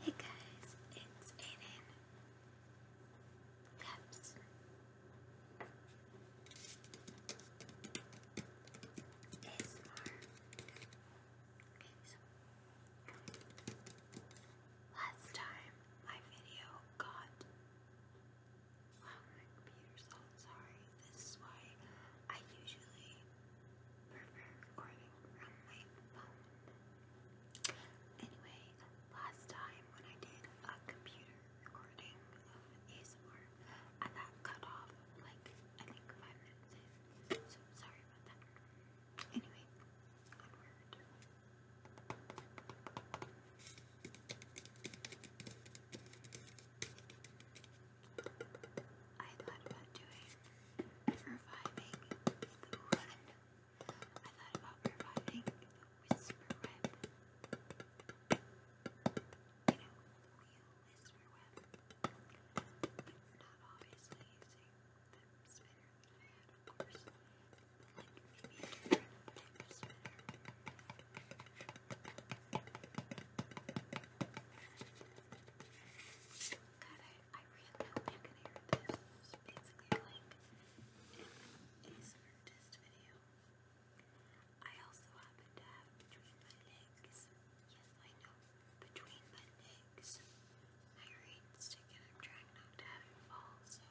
Hey guys, it's Aiden. Peps. It's more. Okay, so last time my video got Wow, my computer's all sorry. This is why I usually recording from Anyway, last time when I did a computer recording of ASMR, I got cut off like I think five minutes So sorry about that. Anyway, I thought about doing reviving I thought about reviving whisper web. You know, wheel whisper web. But not obviously the spinner that like maybe a spinner. God, I, really hope you can hear this. basically like an ASMR test video. I also happen to have between my legs. Yes, I know. Between my legs. My green stick and I'm trying not to have it fall, so.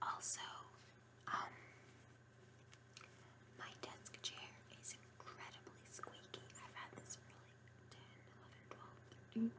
Also, um, my desk chair is incredibly squeaky. I've had this for like 10, whatever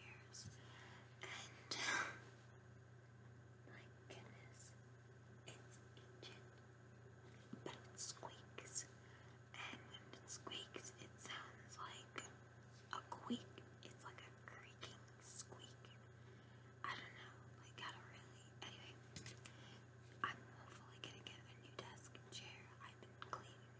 years. And my goodness, it's ancient. But it squeaks. And when it squeaks, it sounds like a squeak. It's like a creaking squeak. I don't know, like I don't really, anyway, I'm hopefully gonna get a new desk chair, I've been cleaning,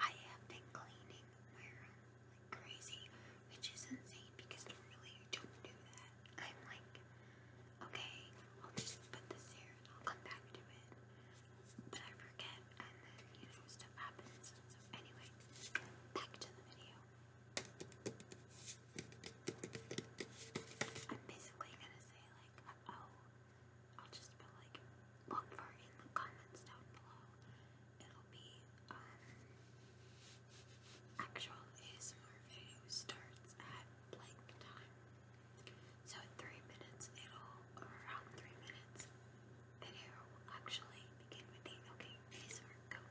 I have been cleaning my room like crazy, which is insane because normally I don't do that, I'm like, okay, I'll just put this here and I'll come back to it, but I forget, and then, you stuff happens, anyway, back to the video. I'm basically gonna say like, oh, I'll just put like, look for in the comments down below. It'll be um, actual ASMR video starts at blank time. So three minutes, it'll around three minutes, video will actually begin with the okay ASMR go. Go.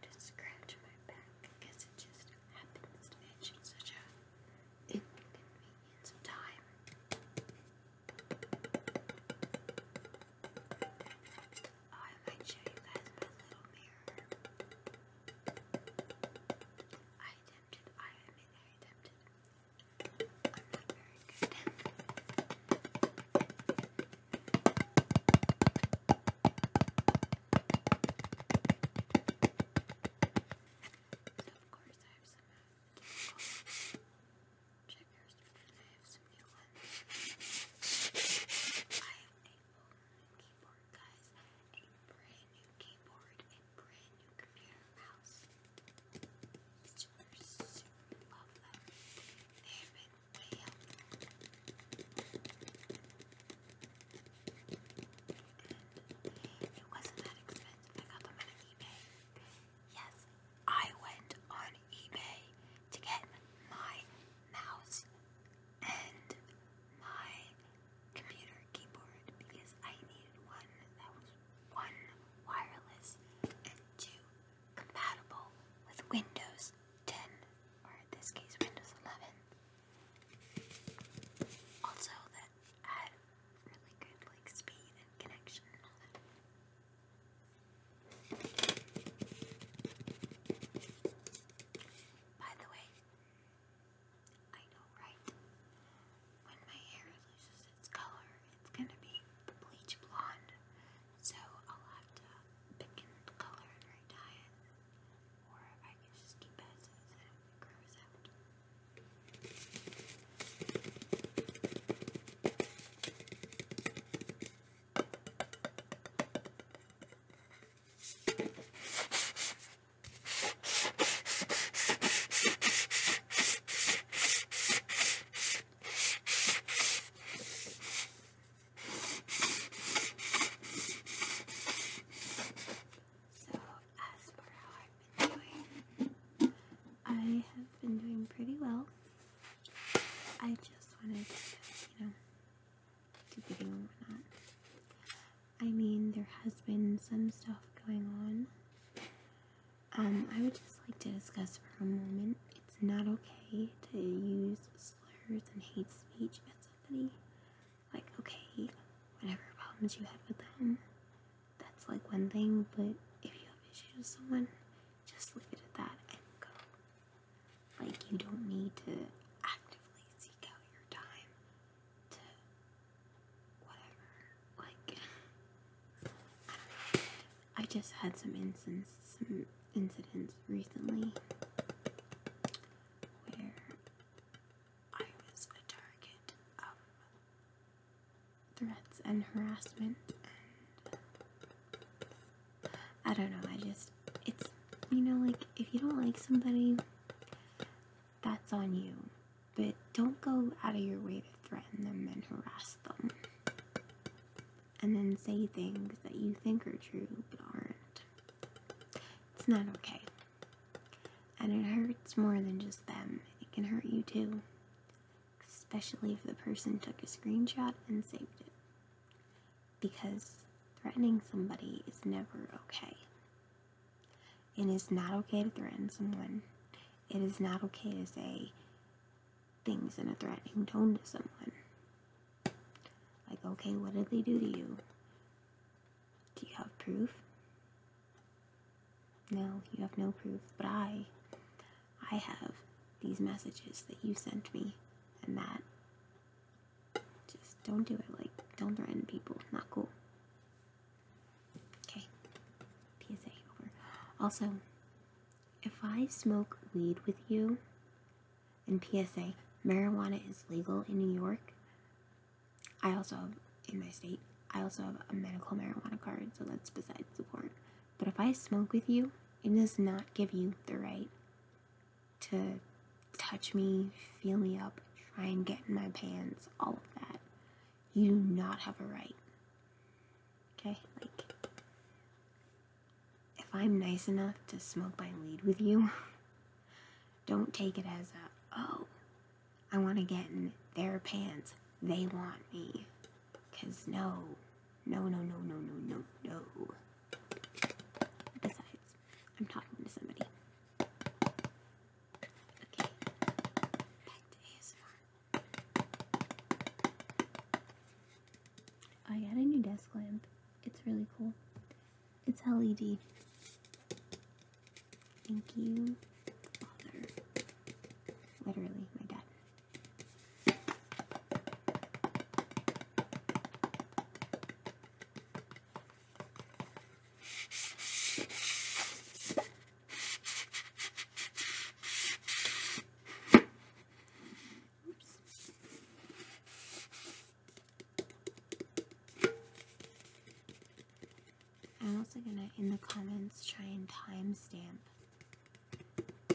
trying to scratch my back because it just happens to match in such a inconvenience of time. Oh, I might show you guys my little mirror. I attempted, I admit I attempted. I'm not very good. Of course, I have some checkers I have some new I have a new keyboard, guys. A brand new keyboard and brand new computer mouse. Super, super love them. They have video. And it wasn't that expensive. I got them on eBay. Yes, I went on eBay to get my mouse and my computer keyboard because I needed one that was one wireless and two compatible with Windows 10, or in this case, Windows 11. Also, that had really good like speed and connection and all that. By the way, I know, right? When my hair loses its color, it's gonna be bleach blonde so I'll have to pick and color and re it, or I can just keep it so that it grows out. So, as for how I've been doing, I have been doing pretty well. I just wanted to, you know, do bidding and whatnot. I mean, there has been some stuff going on. Um, I would just like to discuss for a moment it's not okay to use slurs and hate speech at somebody. Like, okay, whatever problems you had with them, that's like one thing, but if you have issues with someone, just leave it at that and go. Like, you don't need to actively seek out your time to whatever. Like, I just had some incidents, some incidents recently where I was a target of threats and harassment, I don't know. I just it's you know like if you don't like somebody, that's on you, but don't go out of your way to threaten them and harass them and then say things that you think are true but aren't. It's not okay. And it hurts more than just them, it can hurt you too. Especially if the person took a screenshot and saved it. Because threatening somebody is never okay. It is not okay to threaten someone. It is not okay to say, things in a threatening tone to someone. Like, okay, what did they do to you? Do you have proof? No, you have no proof, but I, I have these messages that you sent me, and that. Just don't do it. Like, don't threaten people. Not cool. Okay. PSA over. Also, if I smoke weed with you, and PSA, marijuana is legal in New York. I also have, in my state, I also have a medical marijuana card, so that's besides the point. But if I smoke with you, it does not give you the right to touch me, feel me up, try and get in my pants, all of that. You do not have a right. Okay? if I'm nice enough to smoke my weed with you, don't take it as a, oh, I want to get in their pants. They want me. Because no, no, no, no, no, no, no, no. Besides, I'm talking to somebody. Okay, back to ASMR. I got a new desk lamp. It's really cool. It's LED. Thank you, Father. Literally, my dad. I'm also gonna in the comments try and timestamp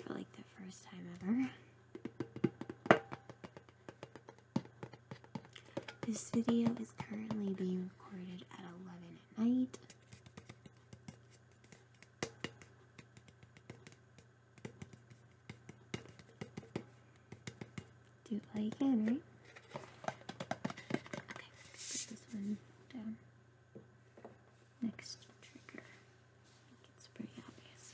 for like the first time ever. This video is currently being recorded at 11 at night. Do it while you can, right? Okay, put this one down. Next trigger. I think it's pretty obvious.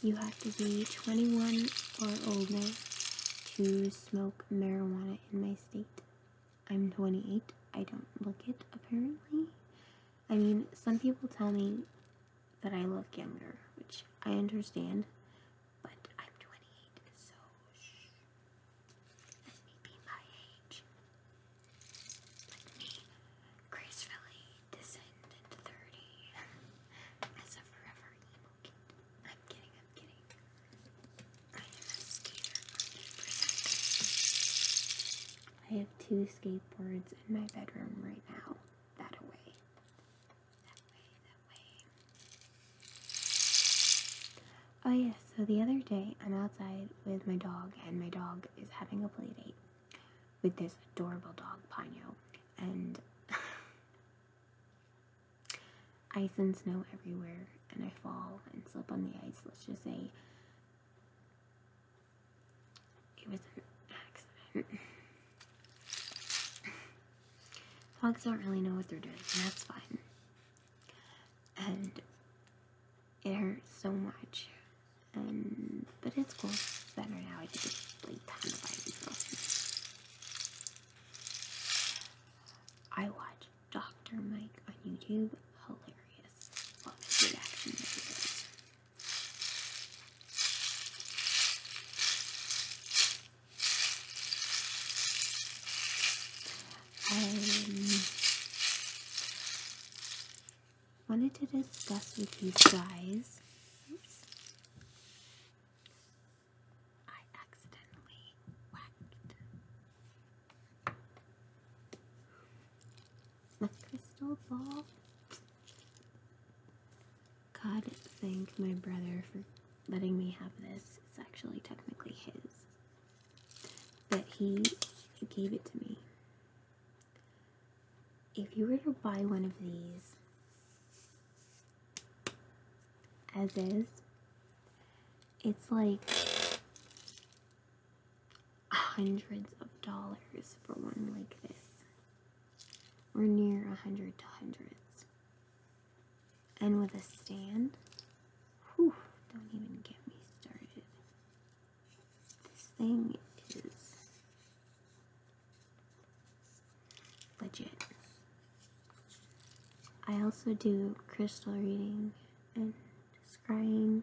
You have to be 21 or older to smoke marijuana in my state. I'm 28. I don't look it, apparently. I mean, some people tell me that I look younger, which I understand, but I'm 28, so shh. Let me be my age. Let me gracefully descend into 30 as a forever emo kid. I'm kidding, I'm kidding. I have two skateboards in my bedroom right now. That away. That way, that way. Oh, yes, so the other day I'm outside with my dog, and my dog is having a play date with this adorable dog, Ponyo. And ice and snow everywhere, and I fall and slip on the ice. Let's just say it was an accident. Dogs don't really know what they're doing, and that's fine and it hurts so much. And but it's cool. It's better now. I just like time to buy I watch Dr. Mike on YouTube. Hilarious. I um, wanted to discuss with you guys. Oops. I accidentally whacked my crystal ball. God, thank my brother for letting me have this. It's actually technically his. But he gave it to me. If you were to buy one of these as is, it's like hundreds of dollars for one like this. or near a hundred to hundreds. And with a stand, don't even get me started. This thing is legit. I also do crystal reading and scrying.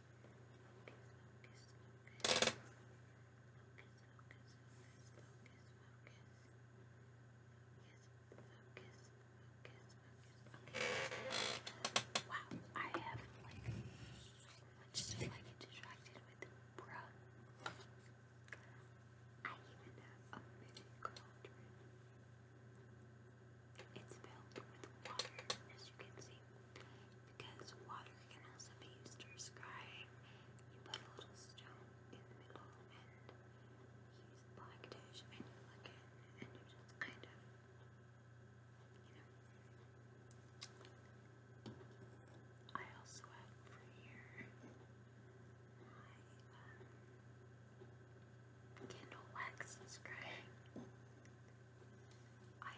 focus. Wow, I have like so much stuff I get distracted with, bruh. I even have a mini cauldron. It's filled with water, as you can see because water can also be used to scrying. You put a little stone in the middle and use black dish and you look in and you just kind of, I also have here my candle um, wax scrying. I